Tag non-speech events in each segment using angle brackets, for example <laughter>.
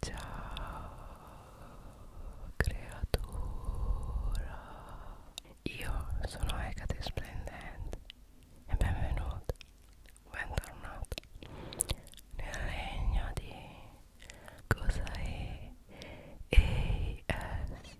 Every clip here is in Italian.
Ciao creatura Io sono Hecate Splendente e benvenuto, bentornato nel regno di cosa è ASMR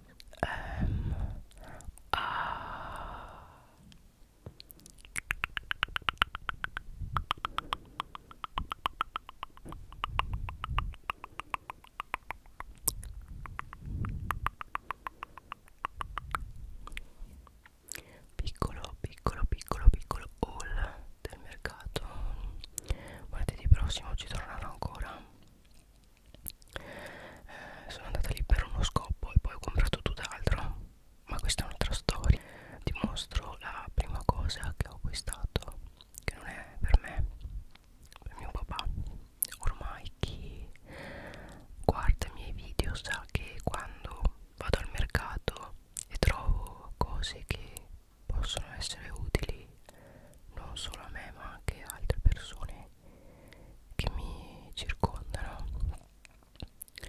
piccolo piccolo piccolo piccolo haul del mercato martedì prossimo ci tornerò ancora eh, sono andata lì per uno scopo e poi ho comprato tutt'altro ma questa è un'altra storia ti mostro la prima cosa che ho acquistato che non è per me per mio papà ormai chi guarda i miei video sa che quando vado al mercato e trovo cose che possono essere utili non solo a me ma anche a altre persone che mi circondano e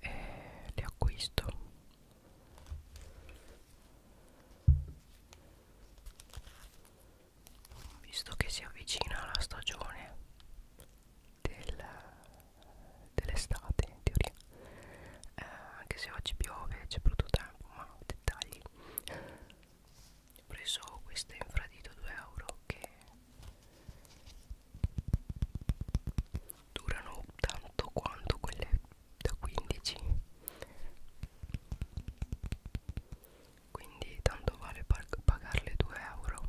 eh, le acquisto visto che si avvicina la stagione del, dell'estate in teoria eh, anche se oggi piove c'è brutto tempo ma dettagli ho preso queste infradito 2 euro che durano tanto quanto quelle da 15 quindi tanto vale pagarle 2 euro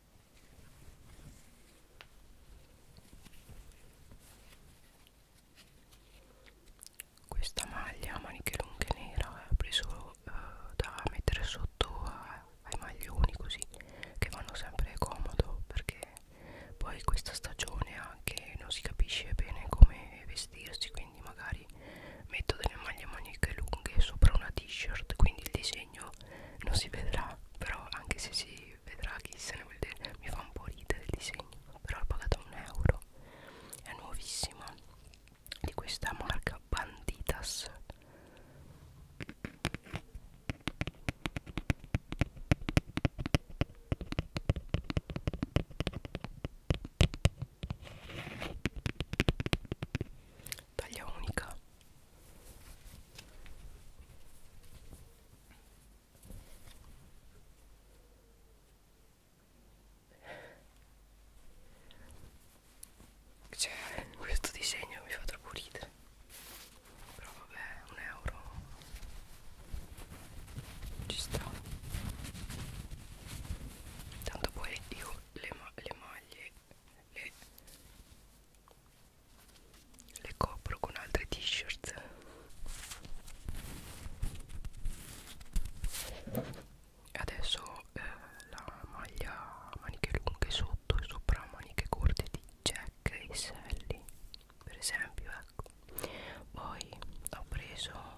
questa maglia a maniche lunghe nera ho preso eh, da mettere sotto a, ai maglioni così che vanno sempre comodo perché poi questa stagione anche non si capisce bene come vestirsi quindi magari metto delle maglie a maniche lunghe sopra una t-shirt quindi il disegno non si vedrà però anche se si vedrà chi se ne vuol dire mi fa un po' ridere il disegno però l'ho pagata un euro è nuovissima di questa marca Banditas taglia unica cioè, questo disegno mi fa troppo ridere. Però vabbè, un euro ci sta. Tanto poi io le, ma le maglie le, le copro con altre t-shirt adesso eh, la maglia a maniche lunghe sotto e sopra maniche corte di Jack e Sally per esempio ecco poi ho preso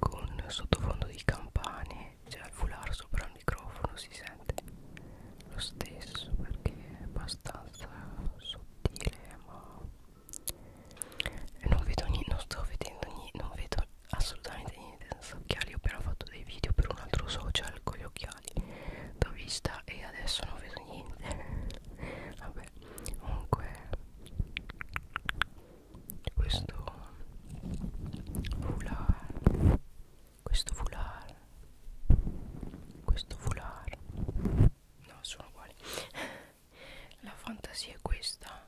con sottofondo di campane cioè al foulard sopra il microfono si sente lo stesso perché è abbastanza sottile ma non vedo niente non sto vedendo niente non vedo assolutamente niente senza occhiali ho appena fatto dei video per un altro social con gli occhiali l'ho vista e adesso non vedo niente vabbè vabbè comunque questo foulard questo foulard questo foulard no sono uguali <laughs> la fantasia è questa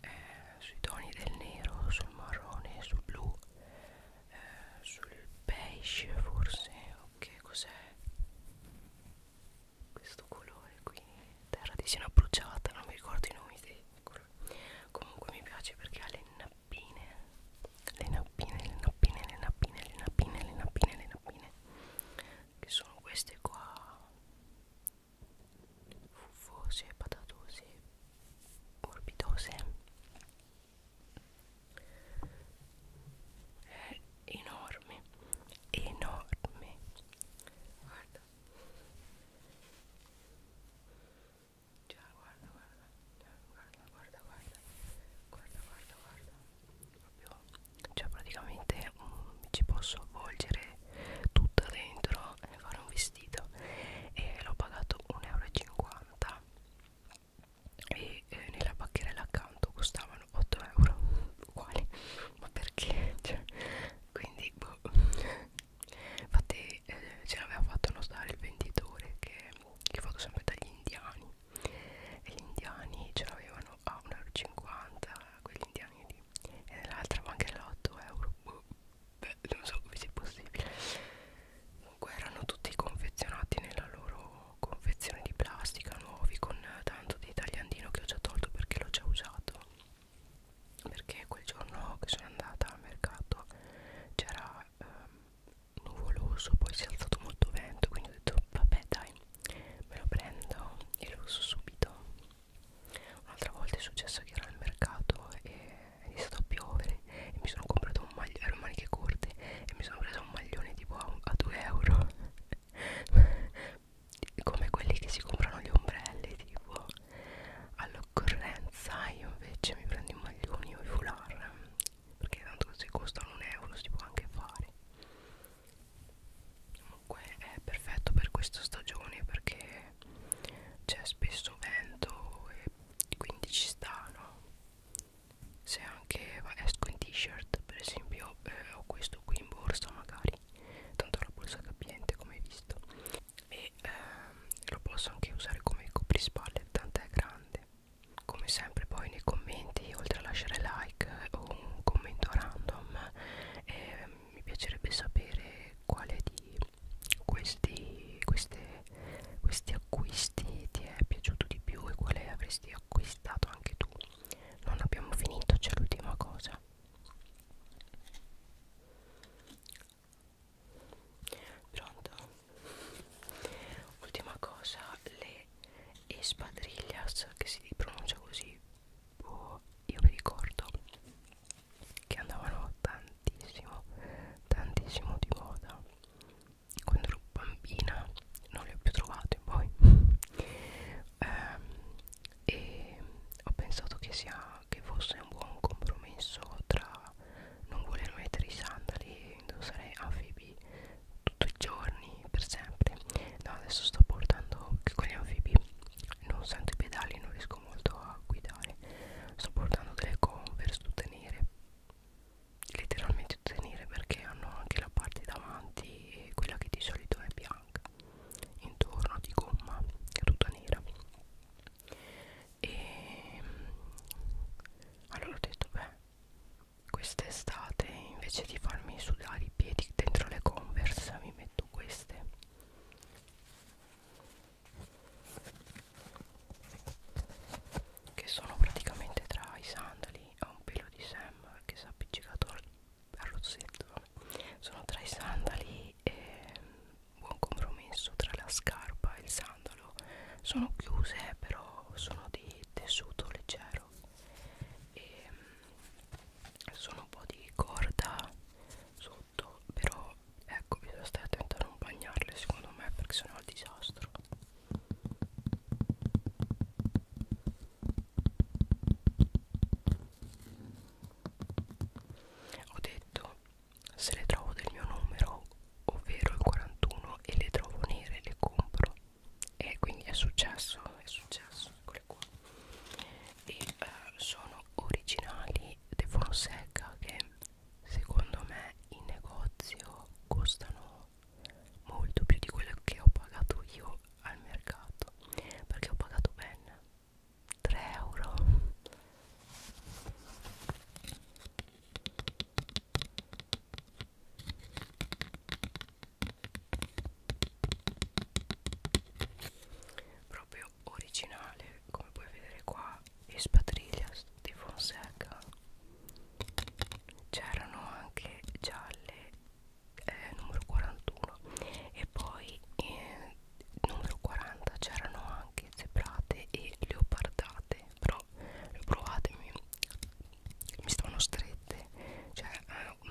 eh, sui toni del nero sul marrone sul blu eh, sul beige forse ok cos'è questo colore qui terra di sena bruciata non mi ricordo i nomi dei colori comunque mi piace perché ha le nappine le nappine le nappine le nappine le nappine le nappine le nappine che sono queste qua fuffose patatose morbidose è enorme enorme guarda già guarda guarda guarda guarda guarda guarda guarda guarda proprio cioè praticamente um, ci posso avvolgere tutta dentro e fare un vestito e l'ho pagato 1,50 euro e eh, nella bacchierella accanto costavano 8 euro uguali ma perché cioè, quindi boh. infatti eh, ce l'aveva fatto notare il venditore che, che vado sempre dagli indiani e gli indiani ce l'avevano a 1,50 euro quegli indiani lì e nell'altra banchella 8 euro boh. Beh, non so come sia possibile comunque erano tutti confezionati nella loro confezione di plastica nuovi con tanto di tagliandino che ho già tolto perché l'ho già usato perché quel giorno che sono andata al mercato c'era ehm, nuvoloso poi si è alzato molto vento quindi ho detto vabbè dai me lo prendo e lo uso subito un'altra volta è successo che ero al mercato e è iniziato a piovere e mi sono comprato preso un maglione, ero maniche corte e mi sono preso un maglione tipo a, a 2 euro <laughs> come quelli che si comprano gli ombrelli tipo all'occorrenza io invece mi prendo i maglioni o i foulard perché tanto se costano un euro si può anche fare comunque è perfetto per questa stagione perché c'è spesso vento e quindi ci sta no se anche va, esco in t-shirt per esempio eh, ho questo qui in borsa magari tanto la borsa capiente come hai visto e ehm, lo posso anche usare come coprispalle tanto è grande come sempre poi nei commenti oltre a lasciare like o un commento random eh, mi piacerebbe sapere quale di questi, queste questi acquisti ti è piaciuto di più e quale avresti acquistato anche tu non abbiamo finito c'è l'ultima cosa pronto ultima cosa le espadrillas che si pronuncia così oh, io vi ricordo che andavano tantissimo tantissimo di moda quando ero bambina non le ho più trovate poi <laughs> eh, e ho pensato che, sia, che fosse un buon compromesso tra non voler mettere i sandali e indossare anfibi tutti i giorni per sempre no adesso sto portando che con gli anfibi non sento i pedali non riesco molto a guidare sto portando delle converse tutte nere letteralmente tutte nere perché hanno anche la parte davanti quella che di solito è bianca intorno di gomma tutta nera e ehm, allora ho detto beh quest'estate invece di farmi sudare i piedi dentro le converse mi metto queste che sono praticamente tra i sandali a un pelo di Sam che si è appiccicato al, al rozzetto sono tra i sandali e buon compromesso tra la scarpa e il sandalo sono chiuse però sono di tessuto leggero e sono un po' di corda sotto però ecco bisogna stare attenti a non bagnarle secondo me perché sono al disastro ho detto se le trovo del mio numero, ovvero il 41 e le trovo nere le compro. E quindi è successo, è successo, eccole qua. E eh, sono originali De Fonseca che secondo me in negozio costano euro molto più di quello che ho pagato io al mercato perché ho pagato ben 3 euro proprio originale come puoi vedere qua e spatriglia di Fonseca c'erano anche gialle eh, numero 41 e poi eh, numero 40 c'erano anche zebrate e leopardate però le provate mi, mi stavano strette cioè eh,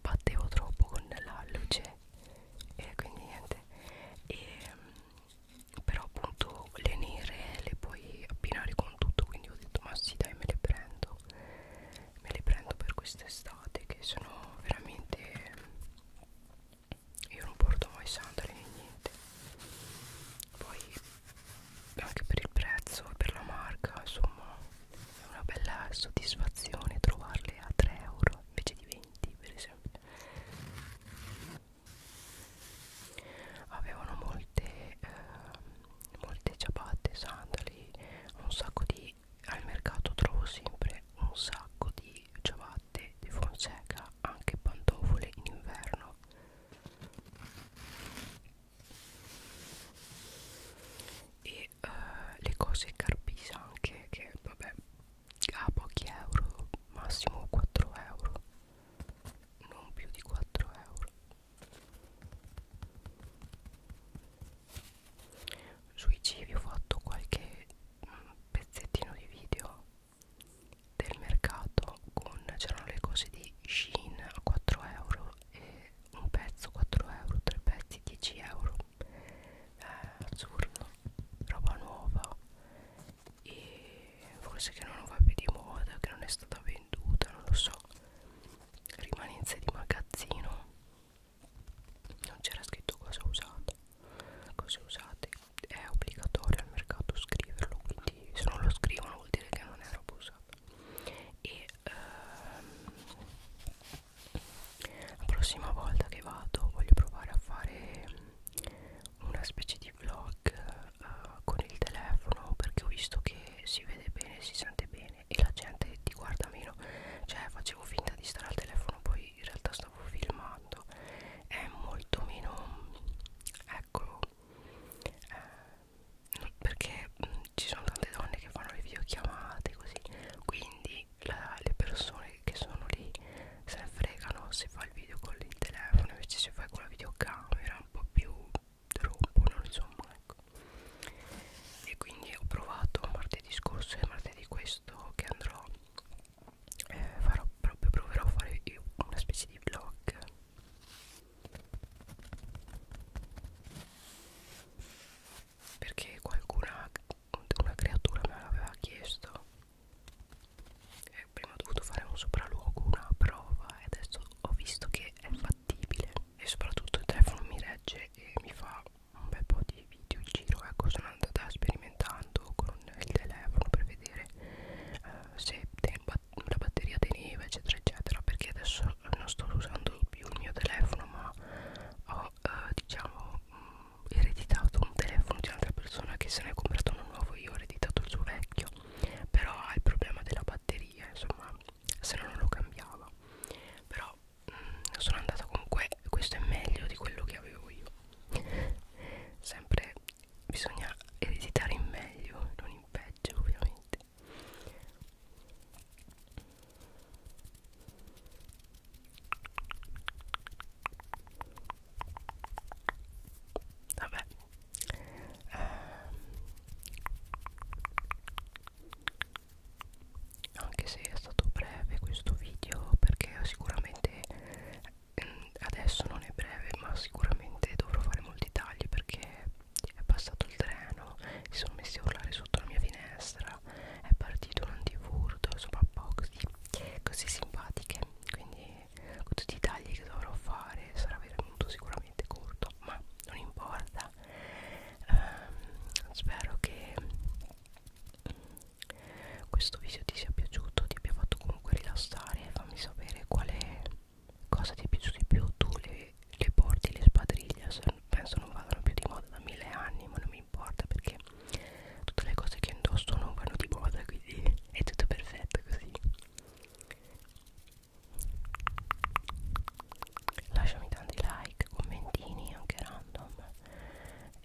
battevo troppo con la luce e quindi niente e però appunto le nere le puoi abbinare con tutto quindi ho detto ma sì dai me le prendo me le prendo per quest'estate che sono veramente io non porto mai sandali né niente poi anche per il prezzo e per la marca insomma è una bella soddisfazione trovarle a 3 euro invece di 20 per esempio avevano molte eh, molte ciabatte sandali un sacco di al mercato trovo sempre un sacco di ciabatte di Fonseca anche pantofole in inverno e uh, le cose carpisa anche che vabbè a pochi euro massimo 4 euro non più di 4 euro sui cibi ho fatto qualche mm, pezzettino di video del mercato con c'erano le cose di Shein a 4 euro e un pezzo 4 euro, tre pezzi 10 euro eh, azzurro, roba nuova e forse che non va più di moda, che non è stata venduta, non lo so. Rimanenze di magazzino, non c'era scritto cosa usata, cose usate. È obbligatorio al mercato scriverlo, quindi se non lo scrivono vuol dire che non è roba usata. E ehm, la prossima volta che vado voglio provare a fare una specie di vlog uh, con il telefono perché ho visto che si vede bene, si sente bene e la gente ti guarda meno. Cioè facevo finta di stare al telefono, poi in realtà stavo filmando. È molto meno... Ecco... Eh, perché mh, mm, ci sono tante donne che fanno le videochiamate così. Quindi la, le persone che sono lì se ne fregano se fa il video con il telefono invece se fai con la videocamera un po' più rompono insomma ecco e quindi ho provato martedì scorso e martedì questo che andrò eh, farò proprio proverò a fare io una specie di vlog perché qualcuna una creatura me l'aveva chiesto eh, prima ho dovuto fare un sopralluogo, una prova e adesso ho visto che è fattibile e soprattutto il telefono mi regge e mi fa un bel po' di video in giro ecco sono andata sperimentando con il telefono per vedere eh, se la batteria teneva eccetera eccetera perché adesso non sto usando più il mio telefono ma ho eh, diciamo mh, mm, ereditato un telefono di un'altra persona che se ne è comprato uno nuovo io ho ereditato il suo vecchio mio però ha il problema della batteria insomma se no non lo cambiava però mh, mm, sono andata con que questo è meglio di quello che avevo io sempre bisogna ereditare in meglio non in peggio ovviamente Vabbè eh, Anche se è stato breve questo video Perché sicuramente mm, Adesso non è breve ma sicuramente dovrò fare molti tagli perché è passato il treno, si sono messi a urlare sotto la mia finestra, è partito un antifurto, insomma pochi così simpatiche, quindi con tutti i tagli che dovrò fare sarà venuto sicuramente corto ma non importa um, spero che mm, questo video ti sia piaciuto ti abbia fatto comunque rilassare fammi sapere quale cosa ti è piaciuto di più tu le, le porti le spadriglie penso non vadano più di moda da mille anni ma non mi importa perché tutte le cose che indosso non vanno di moda quindi è tutto perfetto così lasciami tanti like commentini anche random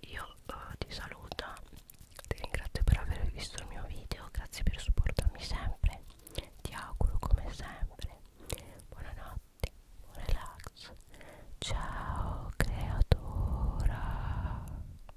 io uh, ti saluto ti ringrazio per aver visto il mio video grazie per supportarmi sempre ti auguro come sempre buonanotte buon relax ciao creatura